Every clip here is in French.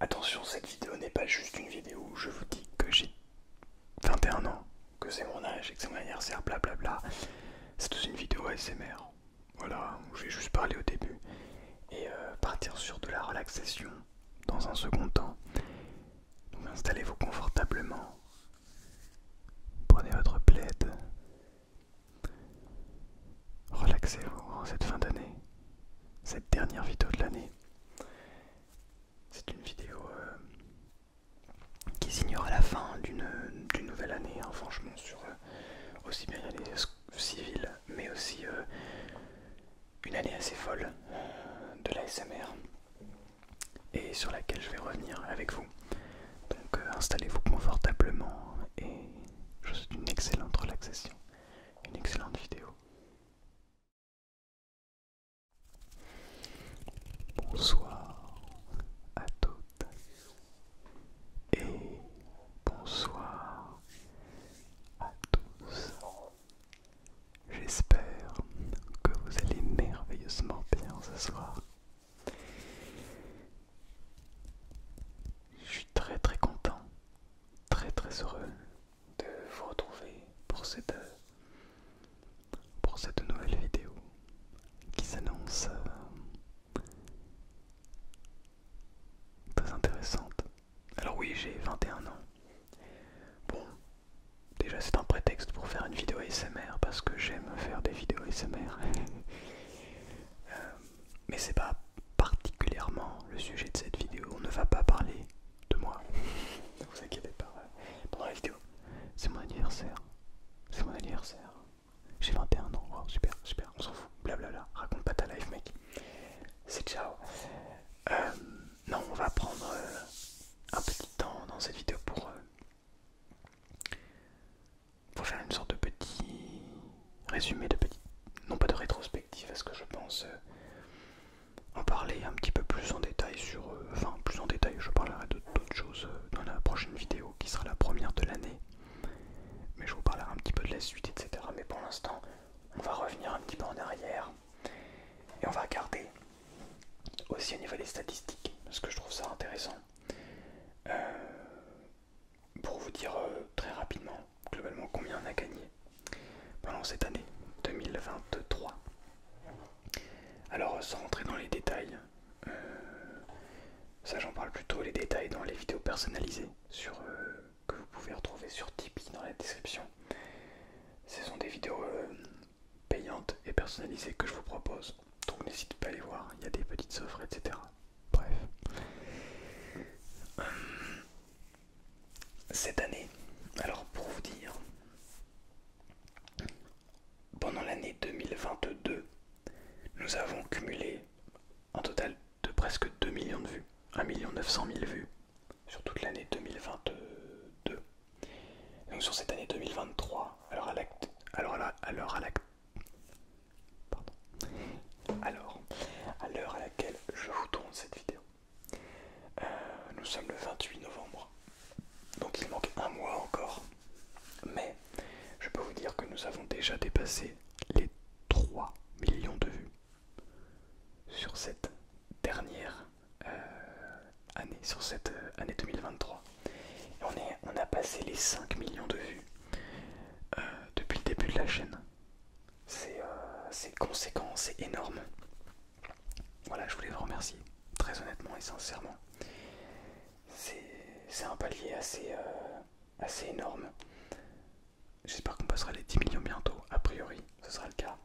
Attention, cette vidéo n'est pas juste une vidéo où je vous dis que j'ai 21 ans, que c'est mon âge et que c'est mon anniversaire, blablabla. C'est aussi une vidéo ASMR. Voilà, où je vais juste parler au début et euh, partir sur de la relaxation dans un second temps. Donc installez-vous confortablement. Prenez votre plaid. Relaxez-vous en cette fin d'année cette dernière vidéo de l'année. C'est une vidéo euh, qui signera la fin d'une nouvelle année, hein, franchement, sur euh, aussi bien l'année civile, mais aussi euh, une année assez folle de la SMR et sur laquelle je vais revenir avec vous. Donc installez-vous confortablement et je vous souhaite une excellente relaxation, une excellente vidéo. Bonsoir à toutes et bonsoir à tous. J'espère que vous allez merveilleusement bien ce soir. Je suis très très content, très très heureux de vous retrouver pour cette, pour cette nouvelle vidéo qui s'annonce euh, très intéressante. Alors oui, j'ai 21 ans. Bon, déjà c'est un prétexte pour faire une vidéo ASMR parce que j'aime faire des vidéos ASMR. Euh, mais c'est pas particulièrement le sujet de cette vidéo. On ne va pas parler de moi. ne vous inquiétez pas. Pendant la vidéo, c'est mon anniversaire. C'est mon anniversaire. J'ai 21 ans. super, super. On s'en fout. Blablabla. Raconte pas ta life, mec. C'est ciao. Euh, non, on va prendre euh, un petit temps dans cette vidéo pour euh, pour faire une sorte de petit résumé de petit, non pas de rétrospective, parce ce que je pense euh, en parler un petit peu plus en détail sur, euh, enfin plus en détail, je parlerai d'autres choses euh, dans la prochaine vidéo qui sera la première de l'année, mais je vous parlerai un petit peu de la suite, etc. Mais pour l'instant, on va revenir un petit peu en arrière et on va regarder aussi au niveau des statistiques, parce que je trouve ça intéressant pour vous dire euh, très rapidement, globalement, combien on a gagné pendant cette année 2023. Alors, sans rentrer dans les détails, euh, ça j'en parle plutôt les détails dans les vidéos personnalisées sur, euh, que vous pouvez retrouver sur Tipeee dans la description. Ce sont des vidéos payantes et personnalisées que je vous propose, donc n'hésitez pas à les voir, il y a des petites offres, etc. Bref cette année, alors pour vous dire, pendant l'année 2022, nous avons cumulé un total de presque 2 millions de vues, 1 900 000 vues sur toute l'année 2022. donc sur cette année 2023, alors à l'acte… alors à pardon, alors, à l'heure à laquelle je vous tourne cette vidéo, euh, nous sommes le 28 novembre, donc il manque un mois encore. Mais je peux vous dire que nous avons déjà dépassé les 3 millions de vues sur cette dernière euh, année, sur cette euh, année 2023. on, est, on a passé les 5 millions de vues depuis le début de la chaîne. Euh, c'est conséquent, c'est énorme. Voilà, je voulais vous remercier, très honnêtement et sincèrement. C'est un palier assez, euh, assez énorme. J'espère qu'on passera les 10 millions bientôt, a priori, ce sera le cas.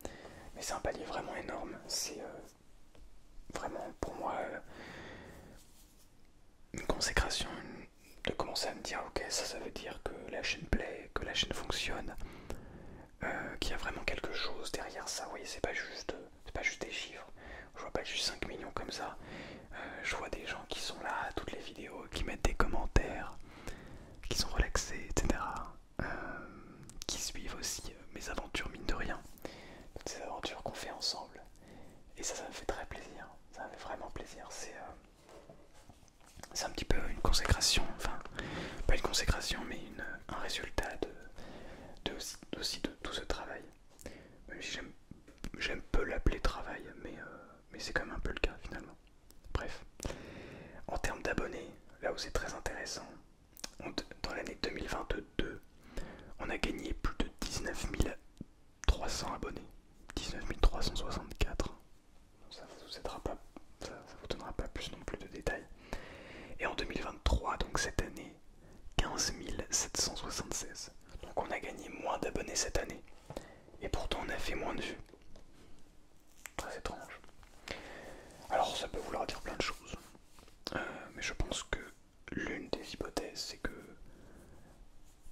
Mais c'est un palier vraiment énorme. C'est euh, vraiment pour moi une consécration, de commencer à me dire ok ça ça veut dire que la chaîne plaît, que la chaîne fonctionne, euh, qu'il y a vraiment quelque chose derrière ça, vous voyez c'est pas juste c'est pas juste des chiffres, je vois pas juste 5 millions comme ça, euh, je vois des gens qui sont là à toutes les vidéos, qui mettent des commentaires, qui sont relaxés, etc. Euh, qui suivent aussi mes aventures mine de rien, toutes ces aventures qu'on fait ensemble. Et ça, ça me fait très plaisir, ça me fait vraiment plaisir. C'est c'est un petit peu une consécration, enfin pas une consécration mais un résultat de, aussi, de tout ce travail. j'aime peu l'appeler travail, mais, euh, mais c'est quand même un peu le cas finalement. Bref, en termes d'abonnés, là où c'est très intéressant, dans l'année 2022, on a gagné plus de 19 300 abonnés. 19 364, ça vous aidera pas, ça, vous donnera pas plus non plus de détails. Et en 2023, donc cette année, 15 776. Donc on a gagné moins d'abonnés cette année. Et pourtant on a fait moins de vues. Très étrange. Alors ça peut vouloir dire plein de choses. Euh, mais je pense que l'une des hypothèses, c'est que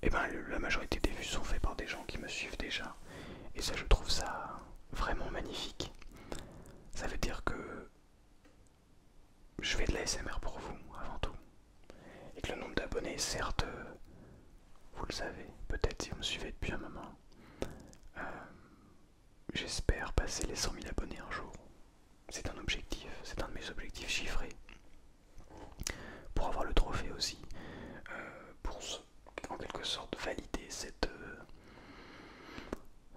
et eh bien la majorité des vues sont faites par des gens qui me suivent déjà. Et ça je trouve ça vraiment magnifique. Ça veut dire que je fais de la SMR pour vous avant tout. Et que le nombre d'abonnés, certes, euh, vous le savez, peut-être si vous me suivez depuis un moment. Euh, j'espère passer les 100 000 abonnés un jour. C'est un objectif, c'est un de mes objectifs chiffrés pour avoir le trophée aussi, euh, pour en quelque sorte valider cette,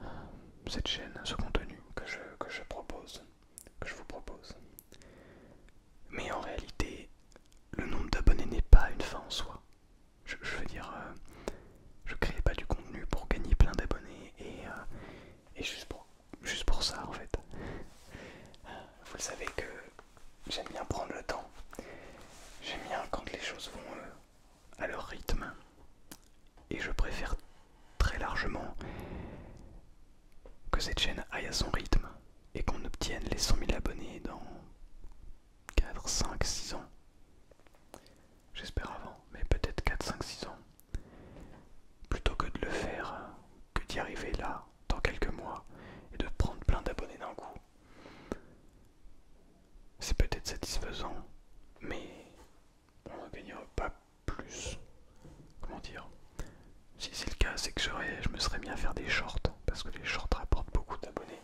euh, cette chaîne, ce contenu que je, que je propose, que je vous propose. Mais en réalité, le nombre d'abonnés n'est pas une fin en soi. Je, veux dire, euh, je crée pas du contenu pour gagner plein d'abonnés et, juste, pour, juste pour ça en fait. Vous le savez que j'aime bien prendre le temps. J'aime bien quand les choses vont euh, à leur rythme. Et je préfère très largement que cette chaîne aille à son rythme et qu'on obtienne les 100 000 abonnés dans 4, 5, 6 ans. J'espère avant, mais peut-être 4, 5, 6 ans. Plutôt que de le faire euh, que d'y arriver là, dans quelques mois, et de prendre plein d'abonnés d'un coup. C'est peut-être satisfaisant, mais on ne gagnera pas plus. Comment dire Si c'est le cas, c'est que je me serais mis à faire des shorts, parce que les shorts rapportent beaucoup d'abonnés.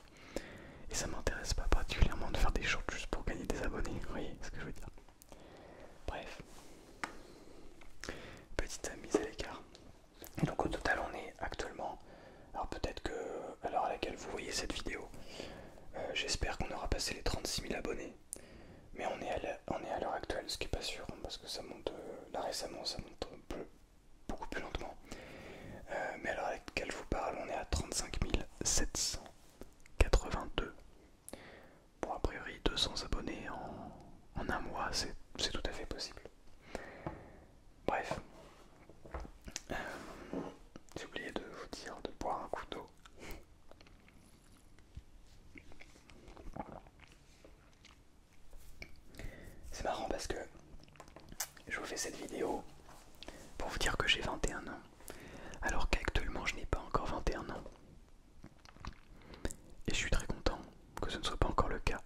Et ça m'intéresse pas particulièrement de faire des shorts juste pour gagner des abonnés, vous voyez ce que je veux dire. Bref. Petite mise à l'écart. Donc au total on est actuellement, alors peut-être que à l'heure à laquelle vous voyez cette vidéo, euh, j'espère qu'on aura passé les 36 000 abonnés, mais on est à l'heure actuelle, ce qui n'est pas sûr, hein, parce que ça monte, euh, là récemment ça monte beaucoup plus lentement. Euh, mais à l'heure à laquelle je vous parle, on est à 35 782. Bon, a priori 200 abonnés en un mois, c'est tout à fait possible. Bref, euh, j'ai oublié de vous dire de boire un coup d'eau. C'est marrant parce que je vous fais cette vidéo pour vous dire que j'ai 21 ans, alors qu'actuellement je n'ai pas encore 21 ans. Et je suis très content que ce ne soit pas encore le cas.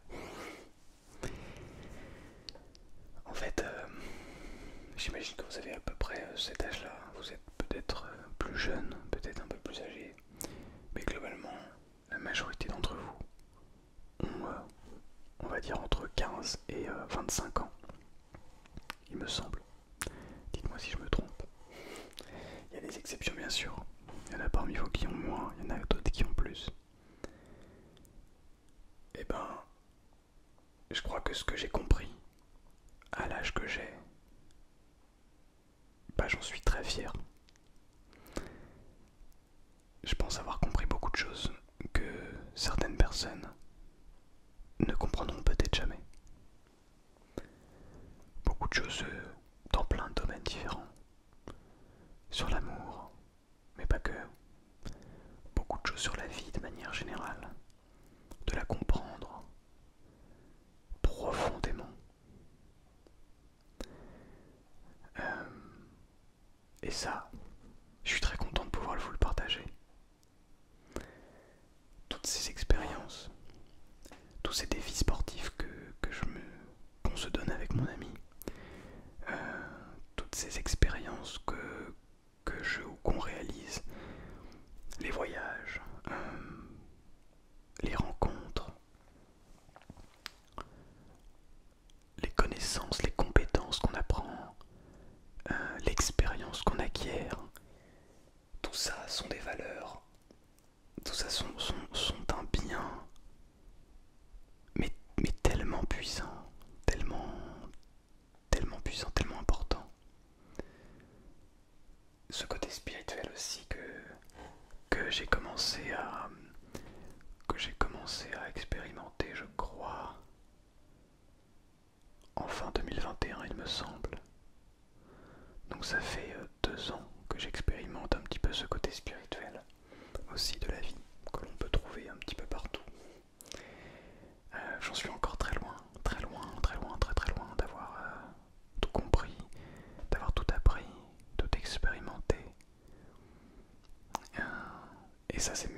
En fait, euh, j'imagine que vous avez à peu près euh, cet âge-là. Hein. Vous êtes peut-être euh, plus jeune, peut-être un peu plus âgé, mais globalement, la majorité d'entre vous ont, on va dire, entre 15 et 25 ans, il me semble. Dites-moi si je me trompe. Il y a des exceptions, bien sûr. Il y en a parmi vous qui ont moins, il y en a d'autres qui ont plus. Eh ben, je crois que ce que j'ai compris, à l'âge que j'ai, bah, j'en suis très fier. Je pense avoir compris beaucoup de choses que certaines personnes ne comprendront peut-être jamais. Beaucoup de choses euh, dans plein de domaines différents sur l'amour, mais pas que, beaucoup de choses sur la vie de manière générale, de la comprendre profondément. Euh, et ça, je suis très content de pouvoir vous le partager. Toutes ces expériences, tous ces défis sportifs que, qu'on se donne avec mon ami, euh, toutes ces expériences que, je ou qu'on réalise, les voyages, euh, les rencontres, les connaissances, les compétences qu'on apprend, euh, l'expérience qu'on acquiert, tout ça sont des valeurs tout ça sont, sont, un bien, mais, tellement puissant, tellement, tellement puissant, tellement important. Ce côté spirituel aussi que, que j'ai commencé à que j'ai commencé à expérimenter, je crois, en fin 2021, il me semble. Donc ça fait euh, deux ans que j'expérimente un petit peu ce côté spirituel aussi de la vie que l'on peut trouver un petit peu partout. Euh, j'en suis encore très loin, très loin, très loin, très très loin d'avoir euh, tout compris, d'avoir tout appris, tout expérimenté. Euh, et ça c'est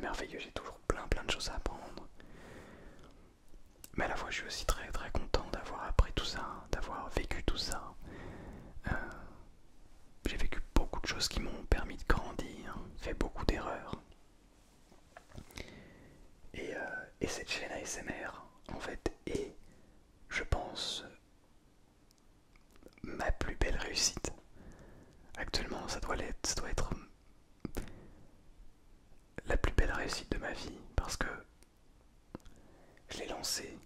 merveilleux, j'ai toujours plein plein de choses à apprendre. Mais à la fois je suis aussi très très content d'avoir appris tout ça, d'avoir vécu tout ça, euh, j'ai vécu beaucoup de choses qui m'ont permis de grandir, fait beaucoup d'erreurs. Et, euh, cette chaîne ASMR, en fait, est, je pense, ma plus belle réussite. Actuellement, ça doit être la plus belle réussite de ma vie parce que je l'ai lancée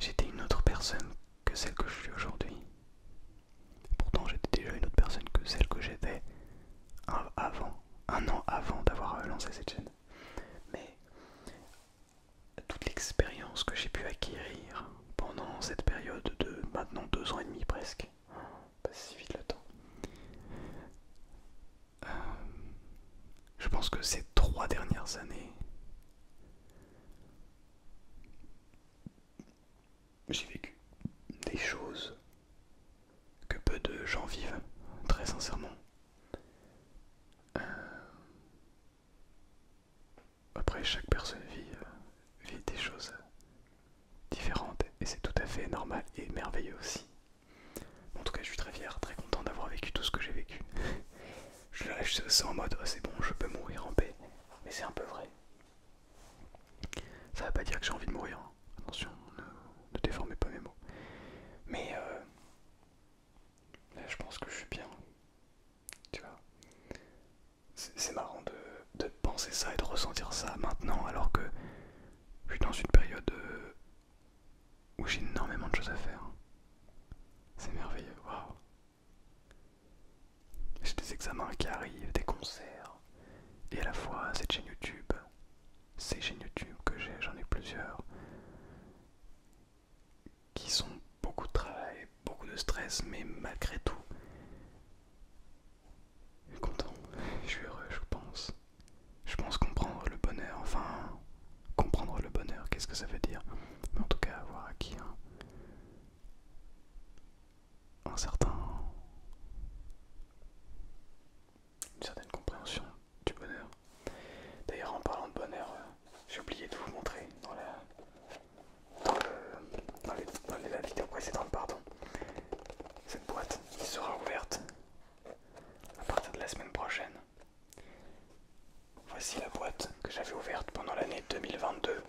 j'étais une autre personne que celle que je suis aujourd'hui. Pourtant, j'étais déjà une autre personne que celle que j'étais avant, un an avant d'avoir euh, lancé cette chaîne. Mais toute l'expérience que j'ai pu acquérir pendant cette période de maintenant deux ans et demi presque, passe bah, si vite le temps, euh, je pense que ces trois dernières années, j'ai vécu des choses que peu de gens vivent, très sincèrement. Euh, après, chaque personne euh, vit des choses différentes et c'est tout à fait normal et merveilleux aussi. En tout cas, je suis très fier, très content d'avoir vécu tout ce que j'ai vécu. je suis en mode oh, c'est bon, je peux mourir en paix, mais c'est un peu vrai. Ça veut pas dire que j'ai envie de mourir, hein. attention, ne, déformez pas mes mots. Mais euh, je pense que je suis bien. Tu vois, c'est marrant de, de penser ça et de ressentir ça maintenant, alors que je suis dans une période euh, où j'ai énormément de choses à faire. C'est merveilleux, waouh! J'ai des examens qui arrivent, des concerts, et à la fois cette chaîne YouTube, ces chaînes YouTube que j'ai, j'en ai plusieurs, qui sont beaucoup de travail, beaucoup de stress, mais malgré tout, je suis content, je suis heureux, je pense. Je pense comprendre le bonheur, enfin, comprendre le bonheur, qu'est-ce que ça veut dire Mais en tout cas, avoir acquis un, certain. une certaine compréhension du bonheur. D'ailleurs, en parlant de bonheur, euh, j'ai oublié de vous montrer dans la. la vidéo précédente, pardon, cette boîte qui sera ouverte à partir de la semaine prochaine. Voici la boîte que j'avais ouverte pendant l'année 2022.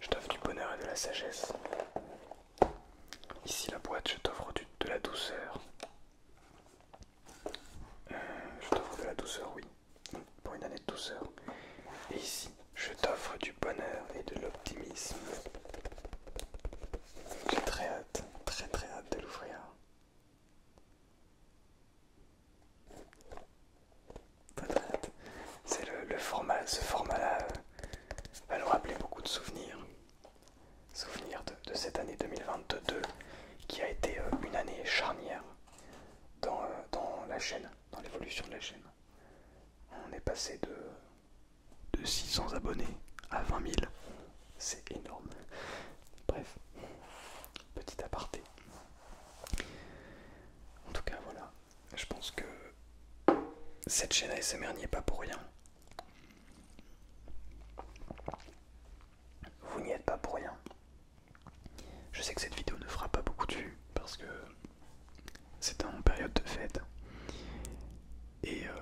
Je t'offre du bonheur et de la sagesse. Ici la boîte, je t'offre de la douceur. Euh, je t'offre de la douceur, oui. Pour une année de douceur. Et ici, je t'offre du bonheur et de l'optimisme. J'ai très hâte, très très hâte de l'ouvrir. C'est le, format, ce format-là euh, va nous rappeler beaucoup de souvenirs. Souvenirs de, cette année 2022 qui a été euh, une année charnière euh, dans, la chaîne, dans l'évolution de la chaîne. On est passé de, de 600 abonnés à 20 000 c'est énorme. Bref, petit aparté. En tout cas, voilà. Je pense que cette chaîne ASMR n'y est pas pour rien. Vous n'y êtes pas pour rien. Je sais que cette vidéo ne fera pas beaucoup de vues parce que c'est en période de fête. Et, euh,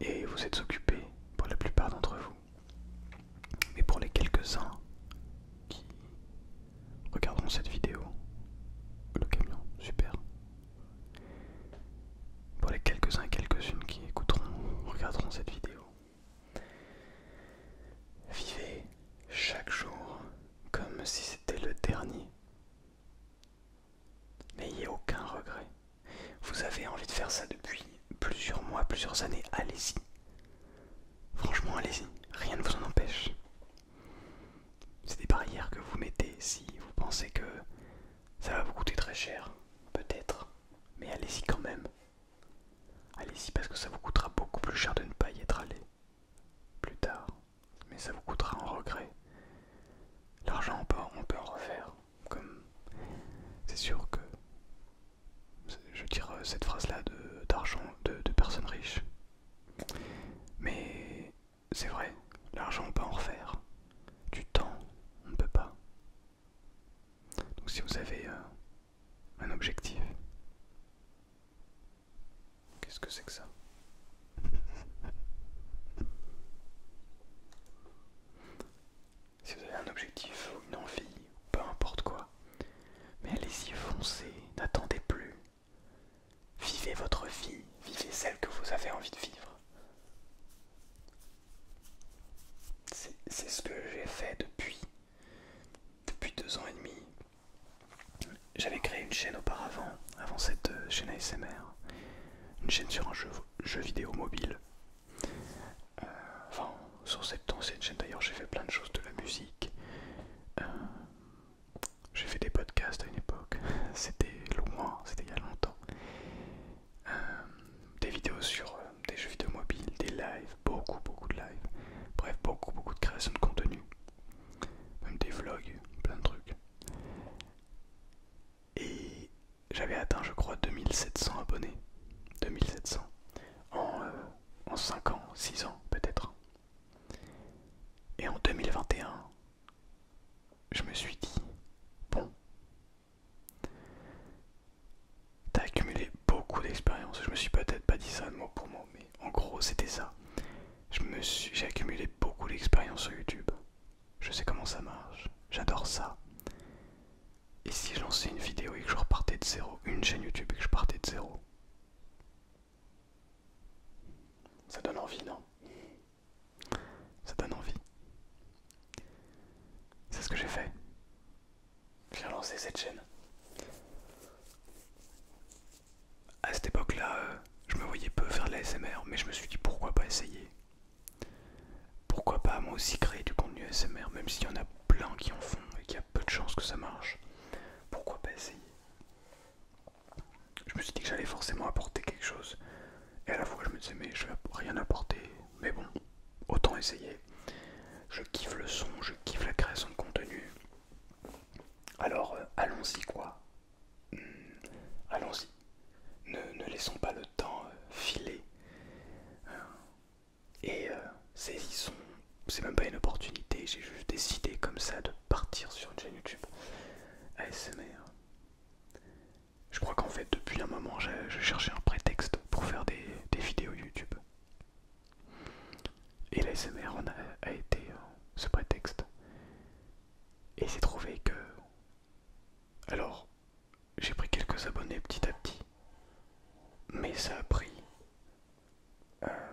et vous êtes occupés pour la plupart d'entre vous. Mais pour les quelques-uns qui regarderont cette vidéo, le camion, super. Pour les quelques-uns et quelques-unes qui écouteront, regarderont cette vidéo, vivez chaque jour comme si c'était le dernier. N'ayez aucun regret. Vous avez envie de faire ça depuis plusieurs mois, plusieurs années, allez-y. Franchement, allez-y, rien ne vous en empêche. C'est des barrières que vous mettez si vous pensez que ça va vous coûter très cher, peut-être, mais allez-y quand même. Allez-y parce que ça vous coûtera beaucoup plus cher de ne pas y être allé plus tard, mais ça vous coûtera en regret. L'argent, en peut, on peut en refaire. Comme c'est sûr que je tire euh, cette phrase-là de d'argent, de, personnes riches. Mais c'est vrai, l'argent on peut en refaire. Du temps, on ne peut pas. Donc si vous avez euh, un objectif, qu'est-ce que c'est que ça si vous avez un objectif ou une envie, peu importe quoi, mais allez-y, foncez, n'attendez plus. Vivez votre vie, vivez celle que vous avez envie de vivre. C'est ce que j'ai fait depuis, depuis deux ans et demi. J'avais créé une chaîne auparavant, avant cette euh, chaîne ASMR, une chaîne sur un jeu vidéo mobile euh, enfin, sur cette ancienne chaîne d'ailleurs, j'ai fait plein de choses, de la musique. Euh, j'ai fait des podcasts à une époque, c'était loin, c'était il y a longtemps. Euh, des vidéos sur des jeux vidéo mobiles, des lives, beaucoup beaucoup de lives. Bref, beaucoup beaucoup de création de contenu. Même des vlogs, plein de trucs et j'avais atteint je crois 2700 abonnés 2700 en, 5 euh, ans 6 ans peut-être et en 2021 je me suis dit bon t'as accumulé beaucoup d'expérience je me suis peut-être pas dit ça de mot pour mot mais en gros c'était ça j'ai accumulé beaucoup d'expérience sur youtube je sais comment ça marche. J'adore ça. Et si je lançais une vidéo et que je repartais de zéro, une chaîne YouTube et que je partais de zéro Ça donne envie, non Ça donne envie. C'est ce que j'ai fait. J'ai lancé cette chaîne. À cette époque-là, euh, je me voyais peu faire de l'ASMR, mais je me suis dit pourquoi pas essayer. Pourquoi pas moi aussi créer du contenu SMR, même s'il y en a plein qui en font et qu'il y a peu de chances que ça marche. Pourquoi pas essayer Je me suis dit que j'allais forcément apporter quelque chose. Et à la fois je me disais mais je vais rien apporter. Mais bon, autant essayer. Je kiffe le son, je kiffe la création de contenu. Alors euh, allons-y quoi. Hmm, allons-y. Ne, laissons pas le temps euh, filer. Hein. Et euh, saisissons, c'est même pas une opportunité, j'ai juste décidé comme ça de partir sur une chaîne YouTube ASMR. Je crois qu'en fait, depuis un moment, je cherchais un prétexte pour faire des, vidéos YouTube. Et l'ASMR en a, été euh, ce prétexte. Et s'est trouvé que. Alors, j'ai pris quelques abonnés petit à petit, mais ça a pris. Euh,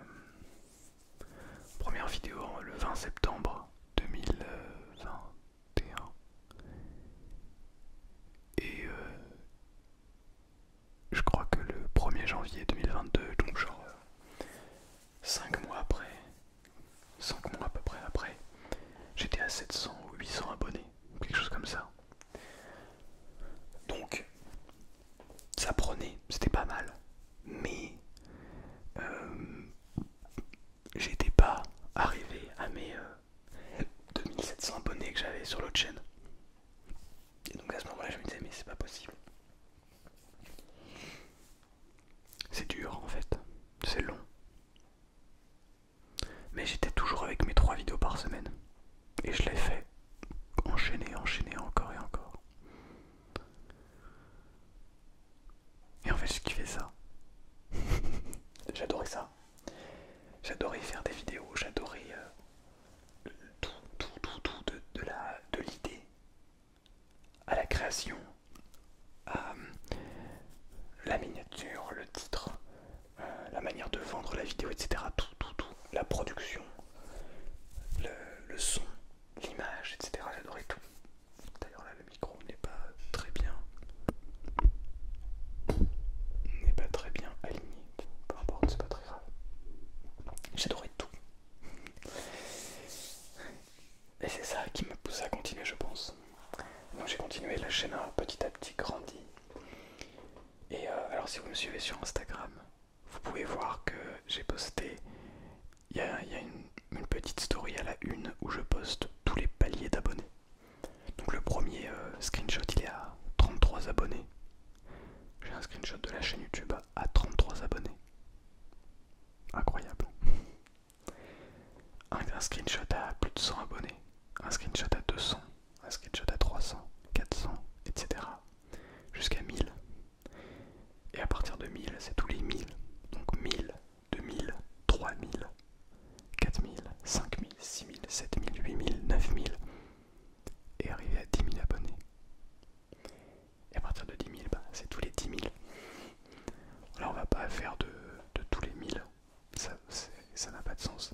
première vidéo le 20 septembre 2021. Et euh, je crois que le 1er janvier 2022, donc genre 5 euh, mois après, 5 mois à peu près après, j'étais à 700 ou 800 abonnés, quelque chose comme ça. Donc, ça prenait, c'était pas mal, mais euh, j'étais pas arrivé à mes 2700 euh, abonnés que j'avais sur l'autre chaîne. Et donc à ce moment-là, je me disais, mais c'est pas possible. C'est dur en fait, c'est long. Mais j'étais toujours avec mes trois vidéos par semaine. Et je l'ai fait enchaîner, enchaîner encore et encore. Et en fait, je kiffais ça. j'adorais ça. J'adorais faire des vidéos, j'adorais euh, tout, tout, tout, tout de, l'idée à la création, euh, la miniature, le titre, euh, la manière de vendre la vidéo, etc. Tout, tout, tout. La production, le, son, l'image, etc. J'adorais tout. D'ailleurs là le micro n'est pas très bien n'est pas très bien aligné. Peu importe, c'est pas très grave. J'adorais tout. Et c'est ça qui me pousse à continuer je pense donc j'ai continué, la chaîne a hein, petit à petit grandi. Et euh, alors si vous me suivez sur Instagram, vous pouvez voir que j'ai posté, il y a, une, petite story à la une où je poste tous les paliers d'abonnés. Donc le premier euh, screenshot il est à 33 abonnés. J'ai un screenshot de la chaîne YouTube à 33 abonnés. Incroyable. Un, screenshot à plus de 100 abonnés, un screenshot à 200, un screenshot à 300, 400, etc. Jusqu'à 1000. Et à partir de 1000, c'est tous les 1000. Donc 1000, 2000, 3000, 4000, 5000, 6000, 7000, 8000, 9000. Et arriver à 10 000 abonnés. Et à partir de 10 000, bah, c'est tous les 10 000. Là, on va pas faire de, de tous les 1000 ça n'a pas de sens.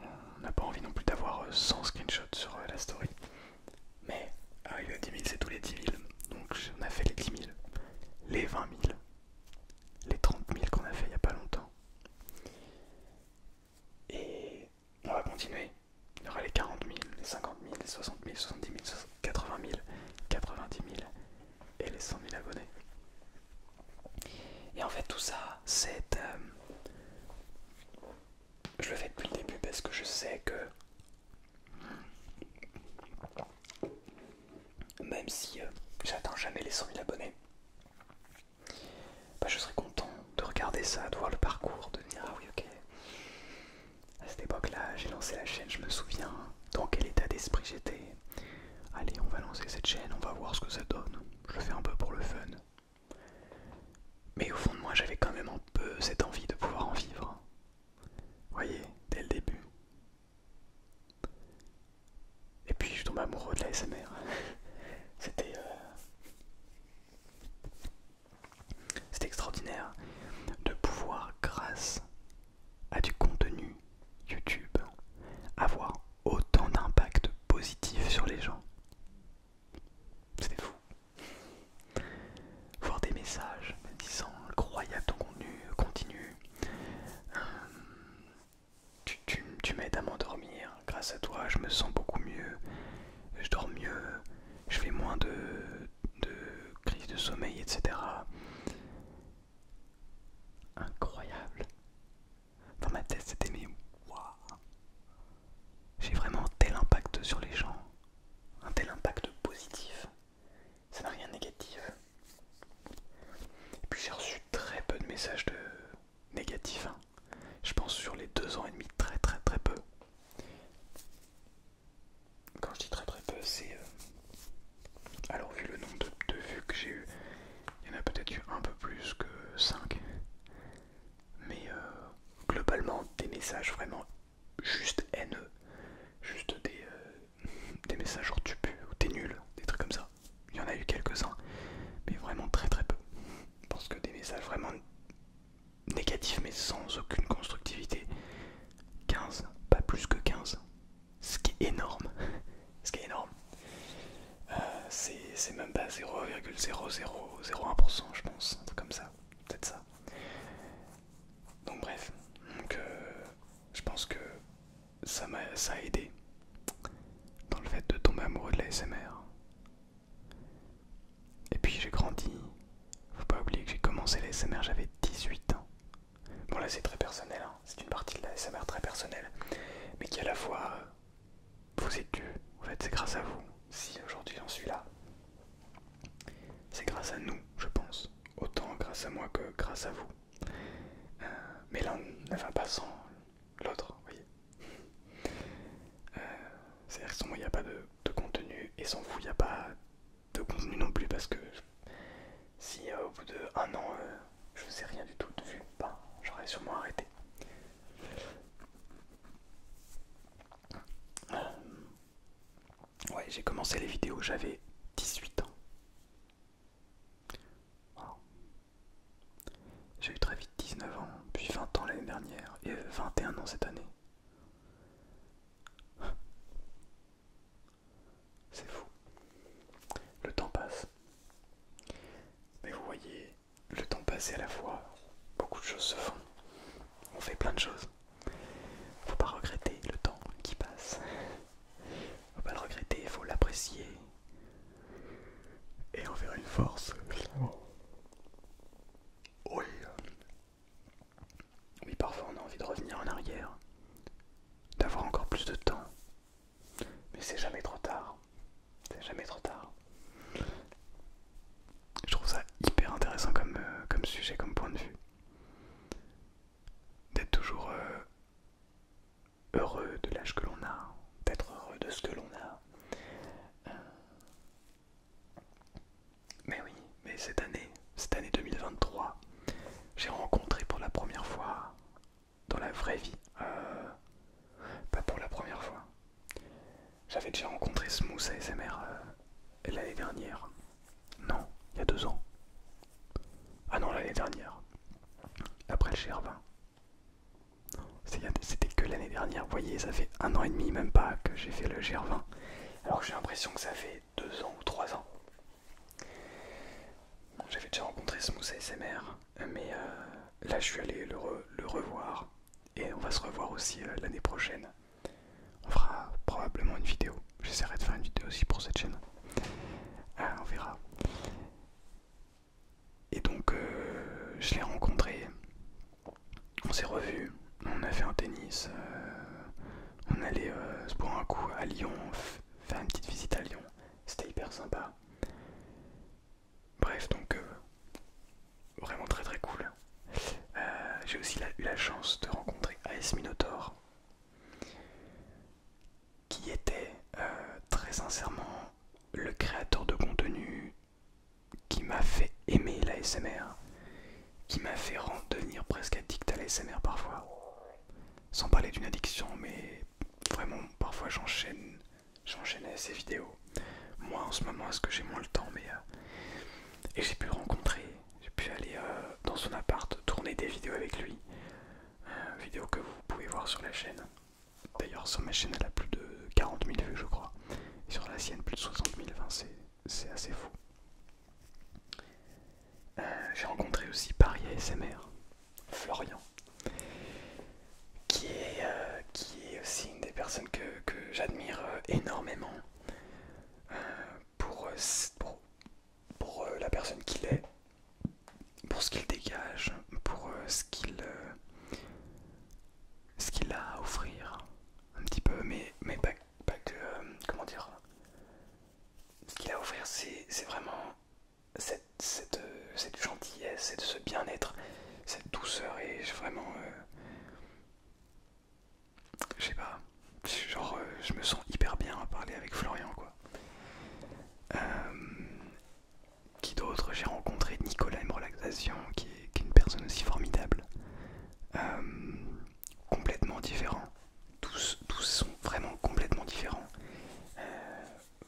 On n'a pas envie non plus d'avoir 100 euh, screenshots sur euh, la story. Mais arrivé à 10 000, c'est tous les 10 000. Donc on a fait les 10 000, les 20 000, les 30 000 qu'on a fait il n'y a pas longtemps. Et on va continuer. Il y aura les 40 000, les 50 000, les 60 000, 70 000, 80 000, 90 000, et les 100 000 abonnés. Et en fait tout ça, c'est... Euh, je le fais depuis le début parce que je sais que... Même si j'attends euh, j'atteins jamais les 100 000 abonnés, bah, je serai content de regarder ça, de voir le parcours, de dire ah ok, à cette époque-là, j'ai lancé la chaîne, je me souviens dans quel état d'esprit j'étais. Allez, on va lancer cette chaîne, on va voir ce que ça donne. Je le fais un peu pour le fun. Mais au fond de moi, j'avais quand même un peu cette envie de pouvoir en vivre. Voyez, dès le début. Et puis je tombe amoureux de la SMR. C'était euh, c'était extraordinaire de pouvoir, grâce à du contenu YouTube, avoir autant d'impact positif sur les gens. C'était fou. Voir des messages disant incroyable ton contenu, continue. Euh, tu, tu, m'aides à m'endormir, grâce à toi je me sens beaucoup mieux, je dors mieux, je fais moins de, de de sommeil, etc. Incroyable. Dans ma tête, c'était mais waouh. J'ai vraiment tel impact sur les gens, un tel impact positif. Ça n'a rien de négatif. Et puis j'ai reçu très peu de messages de négatifs. Hein. Je pense sur les deux ans et demi, très très très peu. Quand je dis très très peu, c'est... Euh, alors vu le nombre de, vues que j'ai eu, il y en a peut-être eu un peu plus que 5. Mais euh, globalement, des messages vraiment juste haineux, juste euh, des, messages genre tu pues ou t'es nul, des trucs comme ça. Il y en a eu quelques-uns, mais vraiment très très peu. Parce que des messages vraiment négatifs mais sans aucune constructivité, 15, pas plus que 15 ce qui est énorme, ce qui est énorme, euh, c'est même pas 0,0001%, je pense, un truc comme ça, peut-être ça. Donc, bref, euh, je pense que ça m'a ça a aidé dans le fait de tomber amoureux de la SMR. Et puis j'ai grandi, faut pas oublier que j'ai commencé la SMR, j'avais 18 ans. Bon là c'est très personnel, hein. c'est une partie de la SMR très personnelle, mais qui à la fois euh, vous êtes dû, en fait c'est grâce à vous, si aujourd'hui j'en suis là, c'est grâce à nous je pense, autant grâce à moi que grâce à vous. Euh, mais l'un ne va pas sans l'autre, vous voyez. Euh, c'est-à-dire que sans moi il n'y a pas de, de contenu et sans vous il n'y a pas de contenu non plus parce que si euh, au bout de an euh, je faisais rien du tout de vue, bah, j'aurais sûrement arrêté. Euh, ouais, j'ai commencé les vidéos, j'avais 18 ans. J'ai eu très vite 19 ans, puis 20 ans l'année dernière et 21 ans cette année. C'est fou. Le temps passe. Mais vous voyez, le temps passe et à la fois, beaucoup de choses se font. On fait plein de choses. Faut pas regretter le temps qui passe. Faut pas le regretter, il faut l'apprécier. Et en faire une force. Oui, parfois on a envie de revenir en arrière, d'avoir encore plus de temps. Mais c'est jamais trop tard. C'est jamais trop tard. Je trouve ça hyper intéressant comme, euh, comme sujet, comme point de vue. D'être toujours euh, heureux de l'âge que l'on a, d'être heureux de ce que l'on a. Euh, mais oui, mais cette année, cette année 2023, j'ai rencontré pour la première fois dans la vraie vie. Euh, pas pour la première fois. J'avais déjà rencontré Smooth euh, ASMR l'année dernière. Non, il y a deux ans. Ah non, l'année dernière. Après le GR20. C'était que l'année dernière, vous voyez, ça fait un an et demi, même pas, que j'ai fait le GR20. Alors j'ai l'impression que ça fait deux 2 ans ou 3 ans. J'avais déjà rencontré Smooth SMR mais euh, là je suis allé le, revoir et on va se revoir aussi euh, l'année prochaine. On fera probablement une vidéo. J'essaierai de faire une vidéo aussi pour cette chaîne. Ah, on verra. Et donc euh, je l'ai rencontré, on s'est revu, on a fait un tennis, euh, on allait euh, pour un coup à Lyon, faire une petite visite à Lyon, c'était hyper sympa. Bref, donc euh, vraiment très très cool. J'ai aussi eu la chance de rencontrer AS Minotaur, qui était très sincèrement le créateur de contenu qui m'a fait aimer la l'ASMR qui m'a fait devenir presque addict à mère parfois. Sans parler d'une addiction, mais vraiment parfois j'enchaîne, j'enchaînais ces vidéos. Moi en ce moment, est-ce que j'ai moins le temps, mais euh, et j'ai pu rencontrer, j'ai pu aller euh, dans son appart tourner des vidéos avec lui, euh, Vidéo que vous pouvez voir sur la chaîne. D'ailleurs, sur ma chaîne, elle a plus de 40 000 vues, je crois, et sur la sienne, plus de 60 000 c'est assez fou. Euh, j'ai rencontré aussi Paris ASMR, Florian, qui est, euh, qui est aussi une des personnes que, j'admire euh, énormément pour, la personne qu'il est, pour ce qu'il dégage, pour ce qu'il a à offrir, un petit peu, mais, mais pas pas que euh, comment dire ce qu'il a à offrir c'est vraiment cette, euh, gentillesse ce bien-être cette douceur et vraiment euh, je sais pas genre je me sens hyper bien à parler avec Florian quoi qui d'autre j'ai rencontré Nicolas M Relaxation qui est, une personne aussi formidable complètement différent tous, sont vraiment complètement différents. Euh,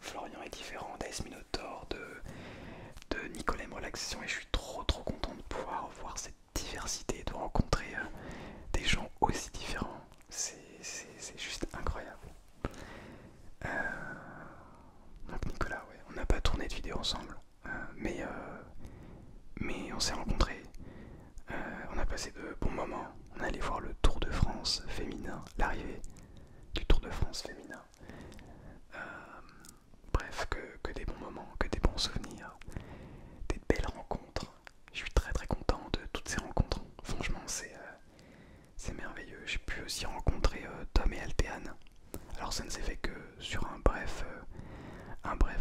Florian est différent des Minotaur, de, Nicolas molaxion Relaxation, et je suis trop trop content de pouvoir voir cette diversité, de rencontrer euh, des gens aussi différents. C'est juste incroyable. Euh, donc Nicolas, on n'a pas tourné de vidéo ensemble, mais, mais on s'est rencontrés, euh, on a passé de bons moments. On est allé voir le Tour de France féminin, l'arrivée du Tour de France féminin. Euh, bref, que, des bons moments, que des bons souvenirs, des belles rencontres. Je suis très très content de toutes ces rencontres. Franchement, c'est euh, merveilleux. J'ai pu aussi rencontrer Tom et Altéane. Alors ça ne s'est fait que sur un bref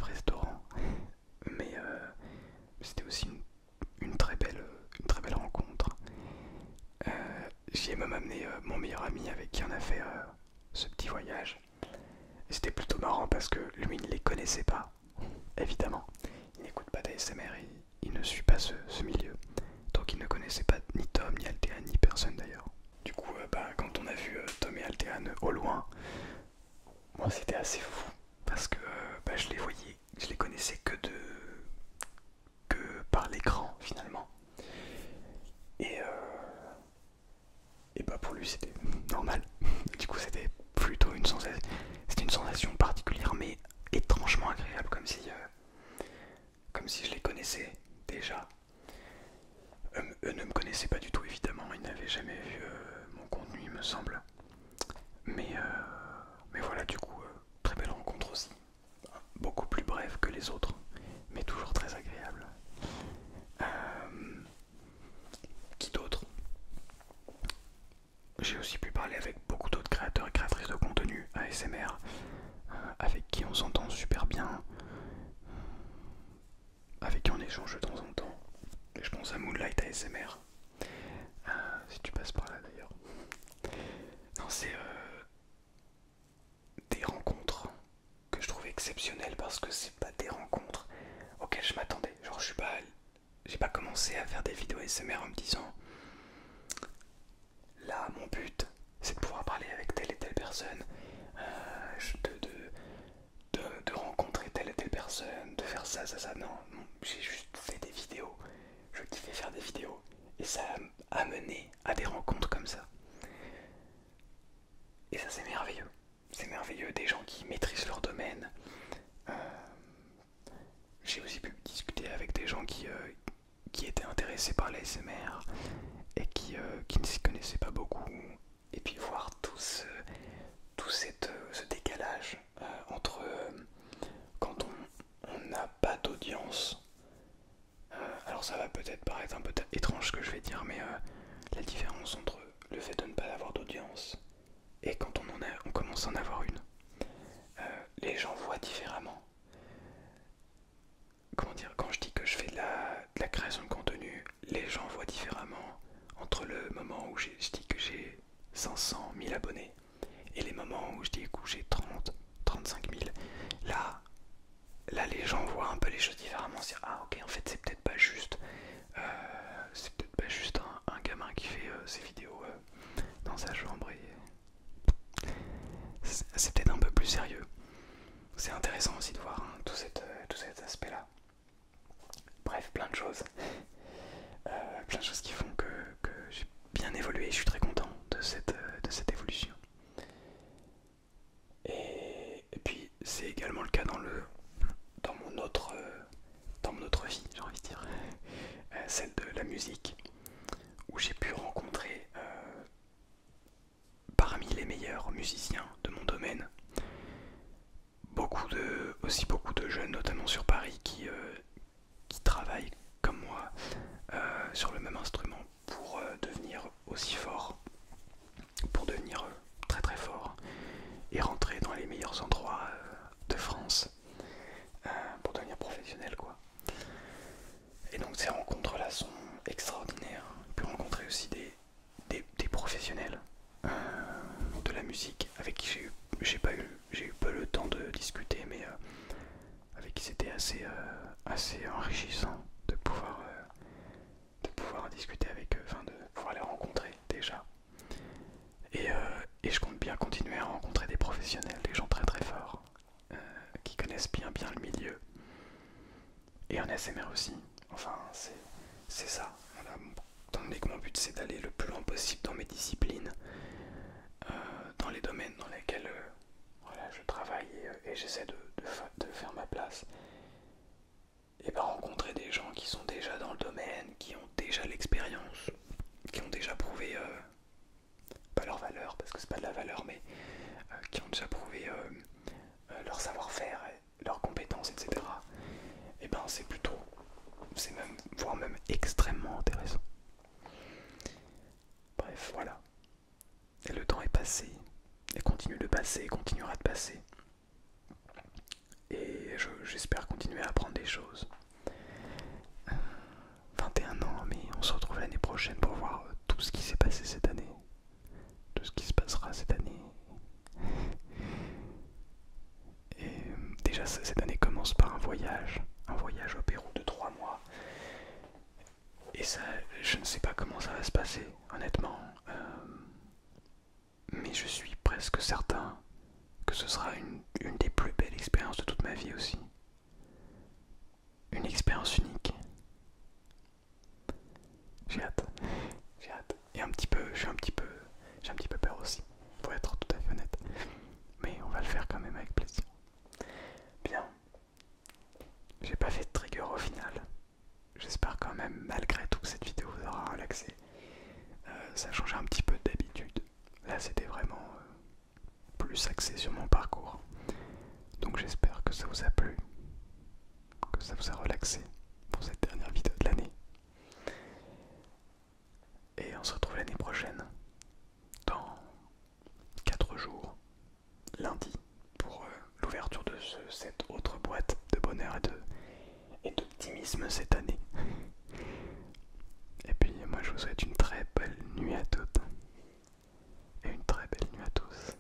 restaurant, mais euh, c'était aussi une, très belle, une très belle rencontre. Euh, j'ai même amené euh, mon meilleur ami avec qui on a fait ce petit voyage. c'était plutôt marrant parce que lui, ne les connaissait pas, évidemment. Il n'écoute pas d'ASMR, il, il ne suit pas ce, milieu. Donc il ne connaissait pas ni Tom, ni Altéane, ni personne d'ailleurs. Du coup, bah, quand on a vu Tom et Altéane au loin, moi c'était assez fou parce que euh, bah, je les voyais, je les connaissais que de que par l'écran finalement. Et, euh, et bah pour lui c'était normal. Du coup c'était plutôt une sensation, c'était une sensation particulière mais étrangement agréable comme si, euh, comme si je les connaissais déjà. Euh, eux ne me connaissaient pas du tout évidemment, ils n'avaient jamais vu euh, mon contenu il me semble. Mais, euh, mais voilà du coup, très belle rencontre aussi. Beaucoup plus brève que les autres, mais toujours très agréable. qui d'autre J'ai aussi pu parler avec beaucoup d'autres créateurs et créatrices de contenu ASMR, avec qui on s'entend super bien avec qui on échange de temps en temps. Je pense à Moonlight ASMR. Euh, si tu passes par là d'ailleurs. Non, c'est euh, des rencontres que je trouve exceptionnelles parce que c'est pas des rencontres auxquelles je m'attendais. Genre, je suis pas. J'ai pas commencé à faire des vidéos ASMR en me disant là, mon but c'est de pouvoir parler avec telle et telle personne, euh, Je te de, de, rencontrer telle et telle personne, de faire ça, ça, ça. Non, j'ai juste fait des vidéos. Je kiffais faire des vidéos. Et ça a mené à des rencontres comme ça. Et ça, c'est merveilleux. C'est merveilleux des gens qui maîtrisent leur domaine. Euh, j'ai aussi pu discuter avec des gens qui, euh, étaient intéressés par l'ASMR et qui, euh, qui ne s'y connaissaient pas beaucoup et puis voir tout ce, tout euh, ce décalage euh, entre euh, quand on n'a pas d'audience. alors ça va peut-être paraître un peu étrange ce que je vais dire, mais la différence entre le fait de ne pas avoir d'audience et quand on, en a, on commence à en avoir une, les gens voient différemment. Comment dire Quand je dis que je fais de la, la création de contenu, les gens voient différemment entre le moment où je dis que j'ai 500 000 abonnés et les moments où je dis que j'ai 30, 35 000. Là, là, les gens voient un peu les choses différemment. C'est ah ok, en fait, c'est peut-être pas juste, euh, peut-être pas juste un, gamin qui fait euh, ses vidéos euh, dans sa chambre c'est peut-être un peu plus sérieux. C'est intéressant aussi de voir hein, tout cet aspect là. Bref, plein de choses. Euh, plein de choses qui font que, j'ai bien évolué. Je suis très content de cette, euh, évolution. Et, puis c'est également le cas dans le dans mon autre euh, dans mon autre vie, j'ai envie de celle de la musique, où j'ai pu rencontrer parmi les meilleurs musiciens de mon domaine. Beaucoup de, aussi beaucoup de jeunes, notamment sur Paris, qui, euh, qui travaillent comme moi euh, sur le même instrument pour euh, devenir aussi fort, pour devenir très très fort et rentrer dans les meilleurs endroits de France pour devenir professionnel quoi. Et donc ces rencontres là sont extraordinaires. J'ai pu rencontrer aussi des, des, professionnels euh, de la musique avec qui j'ai eu, pas eu, eu peu le temps de discuter, mais euh, avec qui c'était assez, euh, assez enrichissant de pouvoir, de pouvoir discuter avec eux, enfin de pouvoir les rencontrer déjà. Et, je compte bien continuer à rencontrer des professionnels, des gens très très forts, qui connaissent bien bien le milieu et en ASMR aussi. Enfin, c'est ça. Tant que mon but c'est d'aller le plus loin possible dans mes disciplines, euh, dans les domaines dans lesquels euh, je travaille et, euh, j'essaie de, de, faire ma place, et ben rencontrer des gens qui sont déjà dans le domaine, qui ont déjà l'expérience, qui ont déjà prouvé. pas leur valeur parce que c'est pas de la valeur mais qui ont déjà prouvé leur savoir-faire leurs compétences, etc. Et eh ben c'est plutôt, c'est même, voire même extrêmement intéressant. Bref, voilà. Et le temps est passé, et continue de passer, et continuera de passer. Et j'espère continuer à apprendre des choses. 21 euh, ans, mais on se retrouve l'année prochaine pour voir tout ce qui s'est passé cette année de ce qui se passera cette année. Et euh, déjà, cette année commence par un voyage, un voyage au Pérou de trois mois. Et ça, je ne sais pas comment ça va se passer, honnêtement. Euh, mais je suis presque certain que ce sera une des plus belles expériences de toute ma vie aussi. Une expérience unique. J'ai hâte, j'ai hâte. Et un petit peu, je suis un petit peu, j'ai un petit peu peur aussi, pour être tout à fait honnête. Mais on va le faire quand même avec plaisir. Bien. J'ai pas fait de trigger au final. J'espère quand même, malgré tout, que cette vidéo vous aura relaxé. Euh, ça a changé un petit peu d'habitude. Là, c'était vraiment euh, plus axé sur mon parcours. Donc j'espère que ça vous a plu que ça vous a relaxé pour cette dernière vidéo de l'année. Et on se retrouve l'année prochaine, dans 4 jours, lundi, pour euh, l'ouverture de cette autre boîte de bonheur et d'optimisme et cette année. Et puis moi je vous souhaite une très belle nuit à toutes. Et une très belle nuit à tous.